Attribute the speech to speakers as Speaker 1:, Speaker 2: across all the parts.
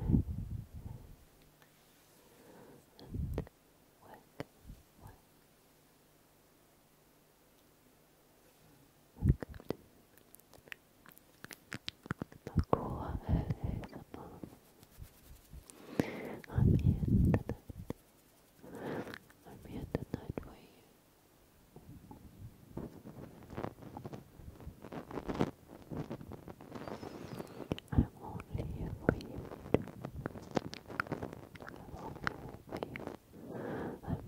Speaker 1: and The core is above. I'm here tonight. I'm here tonight for you. I'm only here for you. I'm only here for you. I'm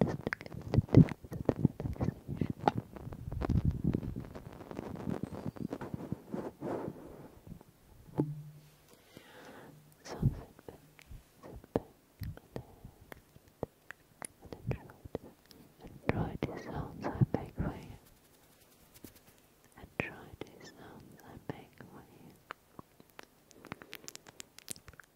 Speaker 1: only here. Just so sit back, sit back, and enjoy, enjoy sounds I make for you. Enjoy the sounds I make for you.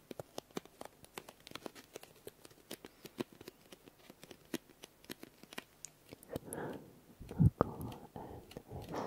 Speaker 1: Local and handsome. Local and handsome.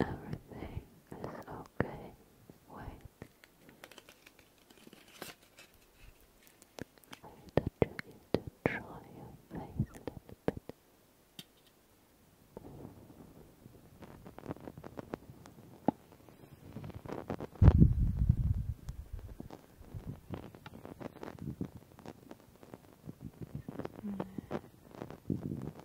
Speaker 2: Everything is okay. Wait. I thought you to try your face a little bit. Mm.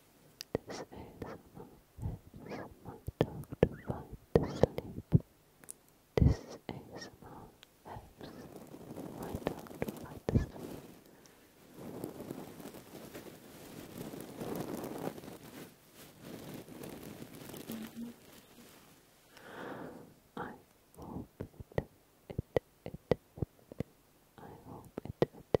Speaker 2: This ASMR helps my dog to find the sleep. This ASMR helps my dog to find the sleep. I hope it, it, it, it, I hope it, it, it,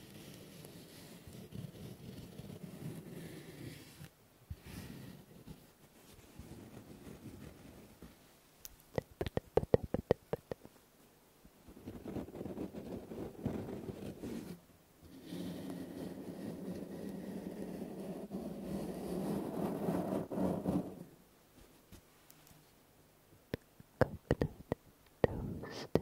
Speaker 2: Coconut toasted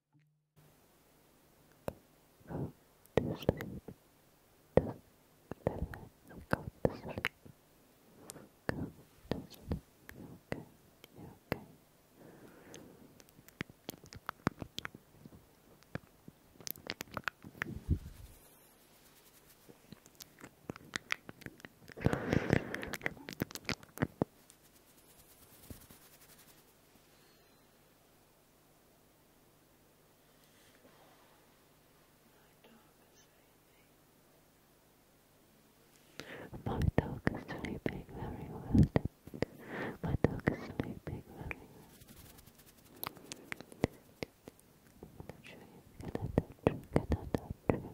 Speaker 2: Go to sleep. Just relax. Go to sleep. Go to sleep. You're okay. You're okay. Good my dog is sleeping very well. My dog is sleeping very well. Can I touch you? Can you? Can I touch you?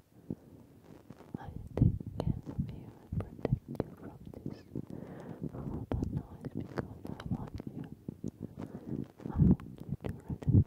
Speaker 1: I can be and protect you from this horrible noise because I want you. I want you to relax. I want you to relax.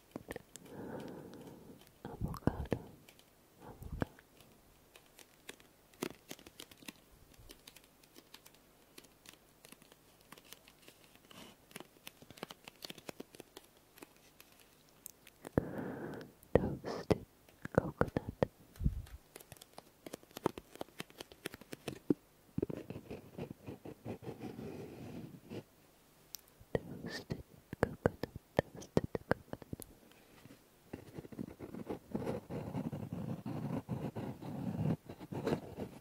Speaker 1: avocado, avocado. Toasted coconut. Toasted coconut, toasted coconut. Local and ASMR.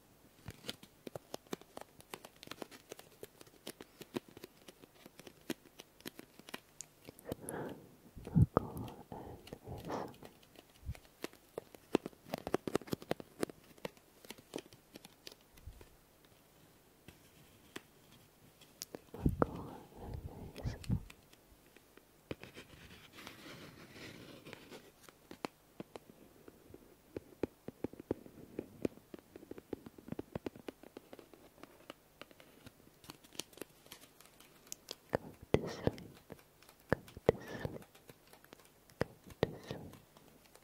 Speaker 1: Sparkle invisible. Go to sleep. Go to sleep. Go to sleep.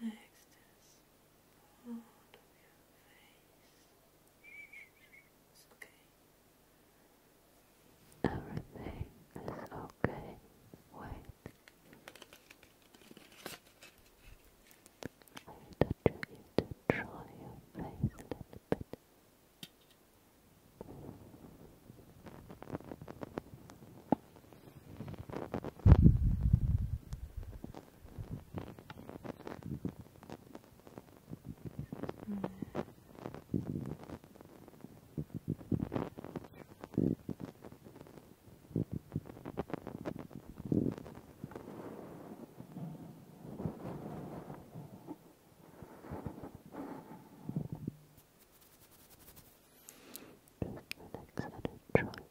Speaker 1: Relax this
Speaker 2: your face. It's okay. Everything is okay. Wait. I will you to draw your a little bit. Just the next little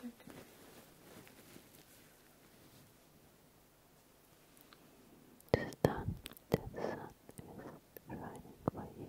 Speaker 2: Good. The the sun is shining for you.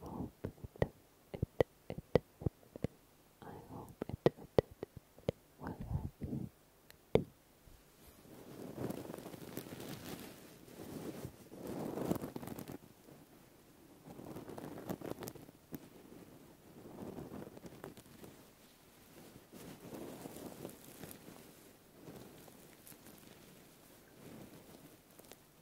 Speaker 2: hope I hope it, will help you.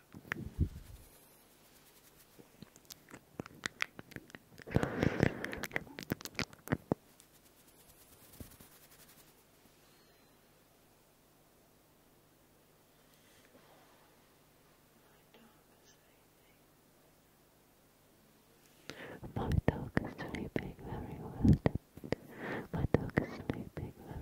Speaker 2: My dog is sleeping very well. My dog is sleeping very well.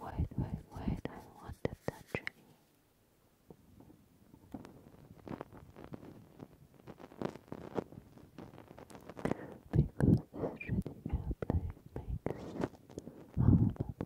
Speaker 1: Wait, wait, wait, I wanted that journey. Because this shitty airplane makes horrible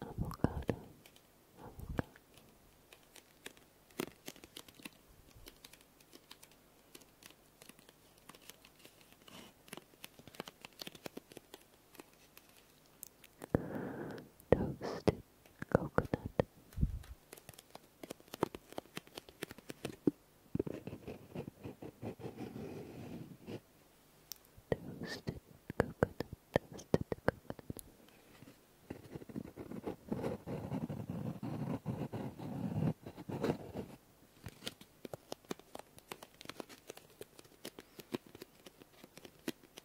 Speaker 1: Avocado, avocado. Toasted coconut. Toasted coconut, toasted coconut. Coconut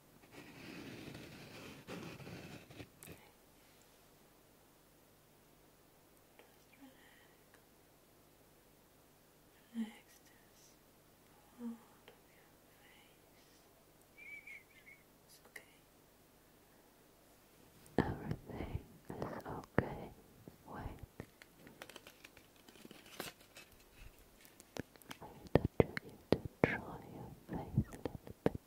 Speaker 1: Relax this part of your
Speaker 2: face. It's okay. Everything is okay. Wait. I will touch you to draw your face a little bit.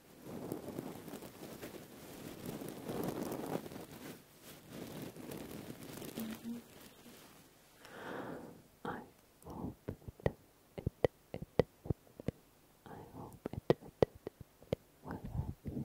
Speaker 2: Mm I hope it, I hope it, it, you.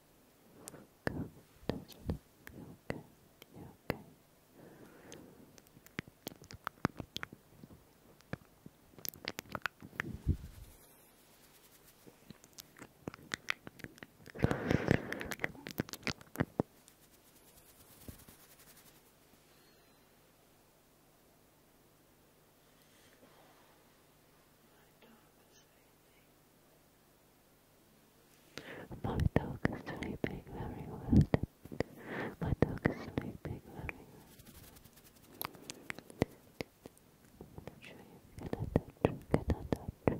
Speaker 2: Go to sleep. You're okay. You're okay. My dog was sleeping. My dog is sleeping very well. My dog is sleeping very well. I'm not sure you can touch, can touch Good.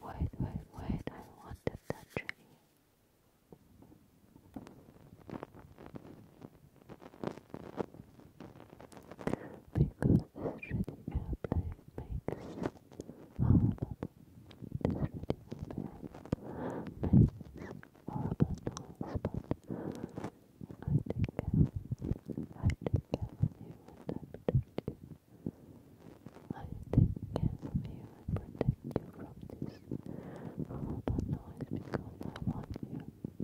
Speaker 2: Wait, wait, wait, I want to touch you. Because this shitty airplane makes horrible, this makes horrible noise, I take care I take care of you protect you. I take care of protect you from this horrible noise because I want you.